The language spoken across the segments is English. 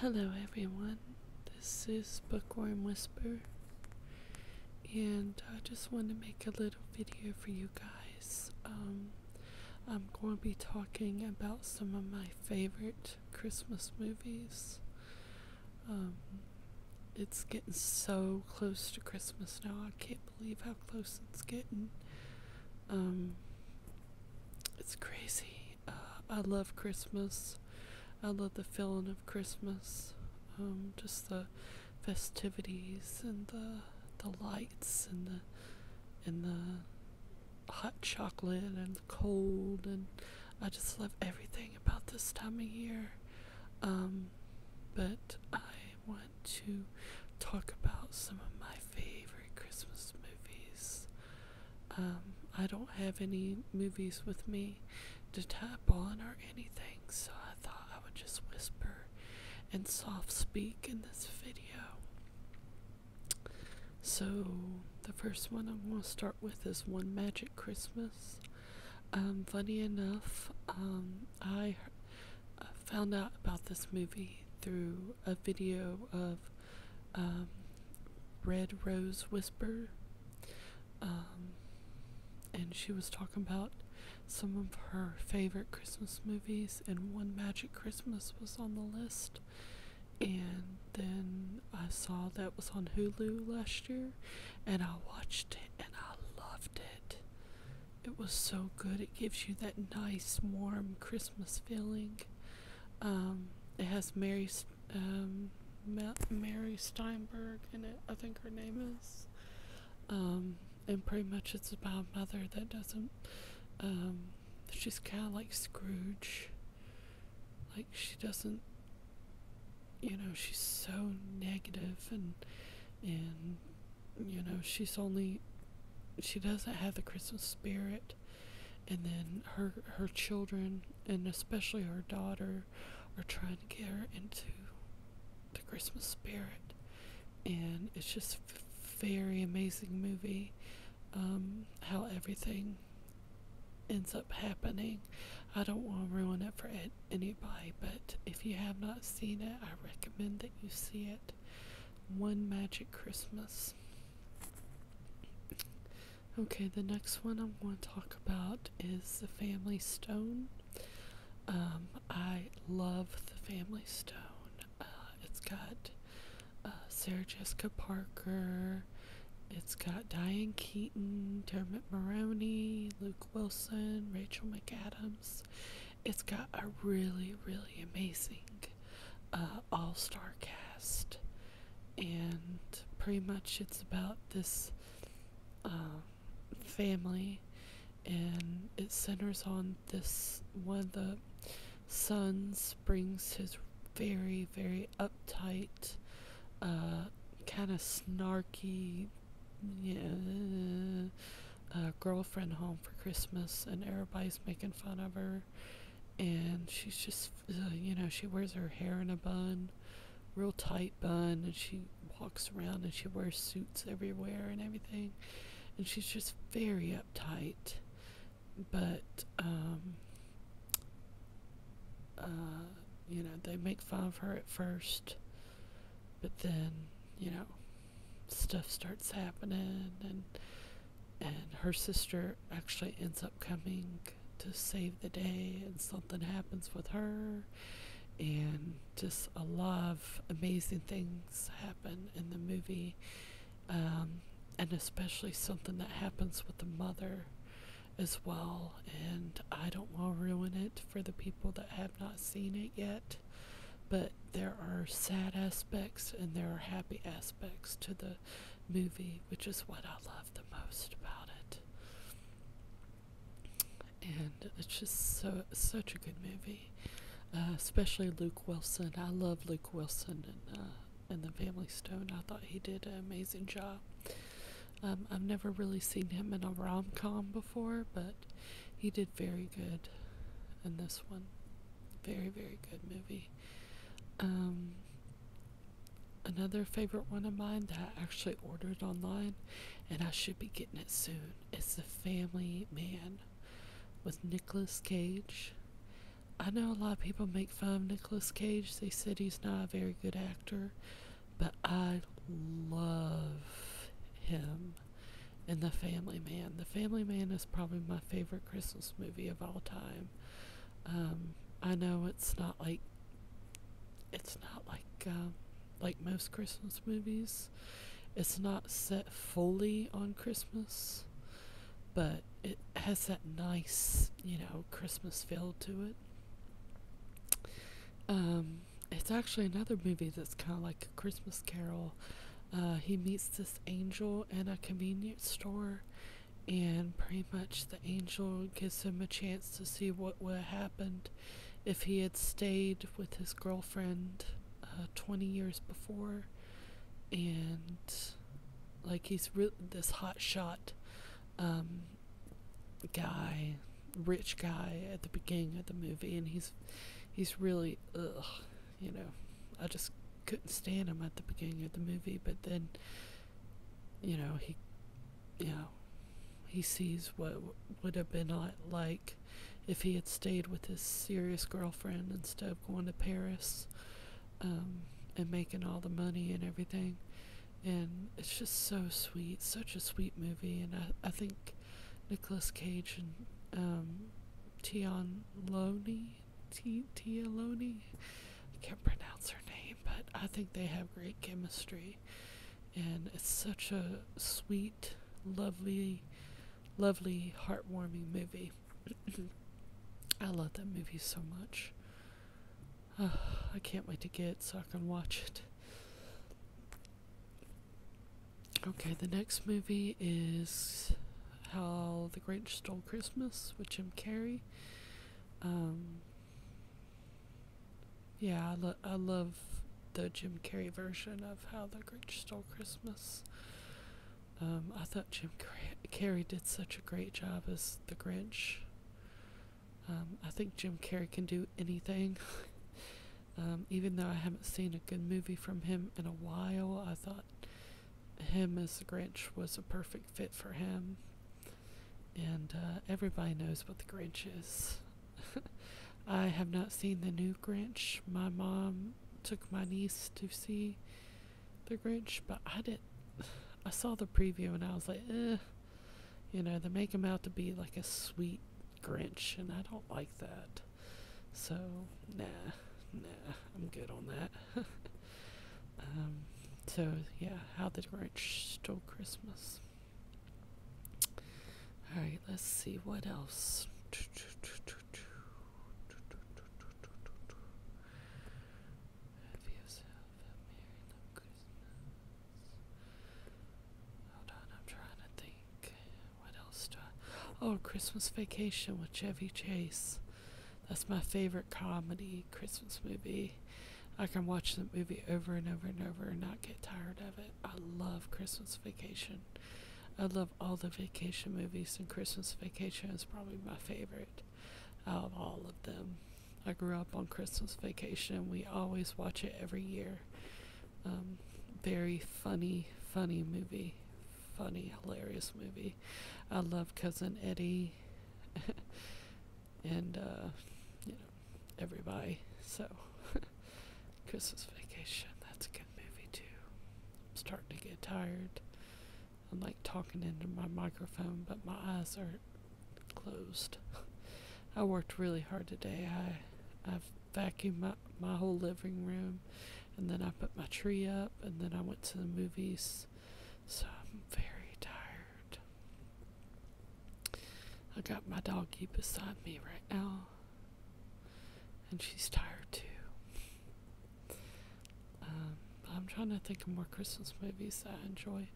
Hello, everyone. This is Bookworm Whisper, and I just want to make a little video for you guys. Um, I'm going to be talking about some of my favorite Christmas movies. Um, it's getting so close to Christmas now. I can't believe how close it's getting. Um, it's crazy. Uh, I love Christmas. I love the feeling of Christmas. Um, just the festivities and the the lights and the and the hot chocolate and the cold and I just love everything about this time of year. Um, but I want to talk about some of my favorite Christmas movies. Um, I don't have any movies with me to type on or anything, so I thought I would just whisper and soft speak in this video. So, the first one I'm going to start with is One Magic Christmas. Um, funny enough, um, I I found out about this movie through a video of um, Red Rose Whisper. Um, and she was talking about some of her favorite Christmas movies, and One Magic Christmas was on the list. And then I saw that was on Hulu last year, and I watched it and I loved it. It was so good. It gives you that nice, warm Christmas. Christmas feeling. Um, it has Mary, um, Mary Steinberg in it, I think her name is. Um, and pretty much it's about a mother that doesn't, she's kind of like Scrooge. Like, she doesn't, you know, she's so negative and, and, you know, she's only she doesn't have the Christmas spirit, and then her her children and especially her daughter are trying to get her into the Christmas spirit, and it's just a very amazing movie. Um, how everything ends up happening. I don't want to ruin it for anybody, but if you have not seen it, I recommend that you see it. One Magic Christmas. Okay, the next one I am going to talk about is the Family Stone. Um, I love the Family Stone. Uh, it's got uh, Sarah Jessica Parker. It's got Diane Keaton, Dermot Maroney, Luke Wilson, Rachel McAdams. It's got a really, really amazing uh, all star cast, and pretty much it's about this um, family, and it centers on this one of the sons brings his very, very uptight, uh, kind of snarky, yeah. You know, a girlfriend home for Christmas, and everybody's making fun of her. And she's just, uh, you know, she wears her hair in a bun, real tight bun, and she walks around and she wears suits everywhere and everything. And she's just very uptight. But, um, uh, you know, they make fun of her at first, but then, you know, stuff starts happening and and her sister actually ends up coming to save the day and something happens with her and just a lot of amazing things happen in the movie um, and especially something that happens with the mother as well and i don't want to ruin it for the people that have not seen it yet but there are sad aspects and there are happy aspects to the movie, which is what I love the most about it. And it's just so such a good movie, uh, especially Luke Wilson. I love Luke Wilson and uh, the Family Stone. I thought he did an amazing job. Um, I've never really seen him in a rom com before, but he did very good in this one. Very, very good movie. Um, another favorite one of mine that I actually ordered online, and I should be getting it soon, is The Family Man with Nicolas Cage. I know a lot of people make fun of Nicolas Cage. They said he's not a very good actor, but I love him and The Family Man. The Family Man is probably my favorite Christmas movie of all time. Um, I know it's not like it's not like uh, like most Christmas movies. It's not set fully on Christmas, but it has that nice, you know, Christmas feel to it. Um, it's actually another movie that's kind of like a Christmas Carol uh, he meets this angel in a convenience store, and pretty much the angel gives him a chance to see what would happen if he had stayed with his girlfriend uh, 20 years before. And like he's re- this hot shot um, guy, rich guy at the beginning of the movie, and he's he's really ugh you know, I just couldn't stand him at the beginning of the movie, but then, you know, he, you know, he sees what would have been like if he had stayed with his serious girlfriend instead of going to Paris um, and making all the money and everything. And it's just so sweet, such a sweet movie, and I, I think Nicolas Cage and um, Tianloni, T Tialoni. I can't pronounce her name, but I think they have great chemistry, and it's such a sweet, lovely, lovely, heartwarming movie. I love that movie so much. I can't wait to get it so I can watch it. Okay, the next movie is How the Grinch Stole Christmas with Jim Carrey. Um, yeah, I, love the Jim Carrey version of How the Grinch Stole Christmas. Um, I thought Jim Carrey did such a great job as the Grinch. Um, I think Jim Carrey can do anything. Um, even though I haven't seen a good movie from him in a while, I thought him as the Grinch was a perfect fit for him. And uh, everybody knows what the Grinch is. I have not seen the new Grinch. My mom took my niece to see the Grinch, but I didn't. I saw the preview and I was like, eh. You know, they make him out to be like a sweet Grinch, and I don't like that. So, nah, nah, I'm good on that. um, so, yeah, how the Grinch stole Christmas. Alright, let's see what else. What else do I? Oh, Christmas Vacation with Chevy Chase. That's my favorite comedy Christmas movie. I can watch the movie over and over and over and not get tired of it. I love Christmas Vacation. I love all the vacation movies, and Christmas Vacation is probably my favorite of all of them. I grew up on Christmas Vacation. We always watch it every year. Um, very funny, funny movie. Funny, hilarious movie. I love Cousin Eddie and uh, you know, everybody. So, Christmas Vacation, that's a good movie too. I'm starting to get tired. I'm like talking into my microphone, but my eyes are closed. I worked really hard today. I I've vacuumed my, my whole living room, and then I put my tree up, and then I went to the movies. So I'm very tired. I got my doggie beside me right now, and she's tired too. Um, I'm trying to think of more Christmas movies that I enjoy.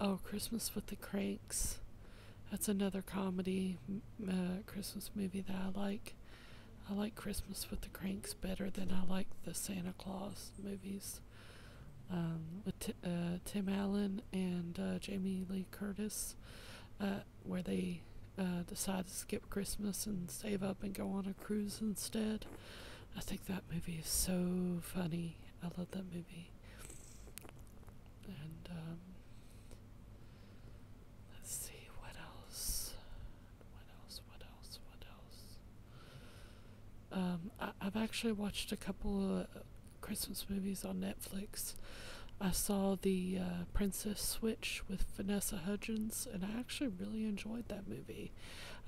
Oh, Christmas with the Cranks. That's another comedy uh, Christmas movie that I like. I like Christmas with the Cranks better than I like the Santa Claus movies um, with uh, Tim Allen and uh, Jamie Lee Curtis, uh, where they decide to skip Christmas and save up and go on a cruise instead. I think that movie is so funny. I love that movie. And um, Let's see what else. What else? What else? What else? Um, I, have actually watched a couple of Christmas movies on Netflix. I saw the uh, Princess Switch with Vanessa Hudgens, and I actually really enjoyed that movie.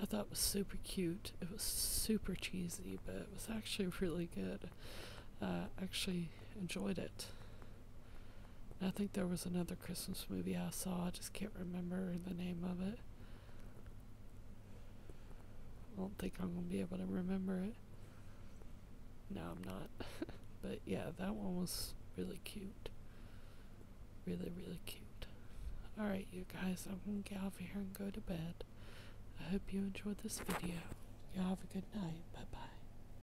I thought it was super cute. It was super cheesy, but it was actually really good. I actually enjoyed it. I think there was another Christmas movie I saw. I just can't remember the name of it. I don't think I'm going to be able to remember it. No, I'm not. but yeah, that one was really cute. Really, really cute. Alright, you guys, I'm going to get out of here and go to bed. I hope you enjoyed this video. Y'all have a good night. Bye-bye.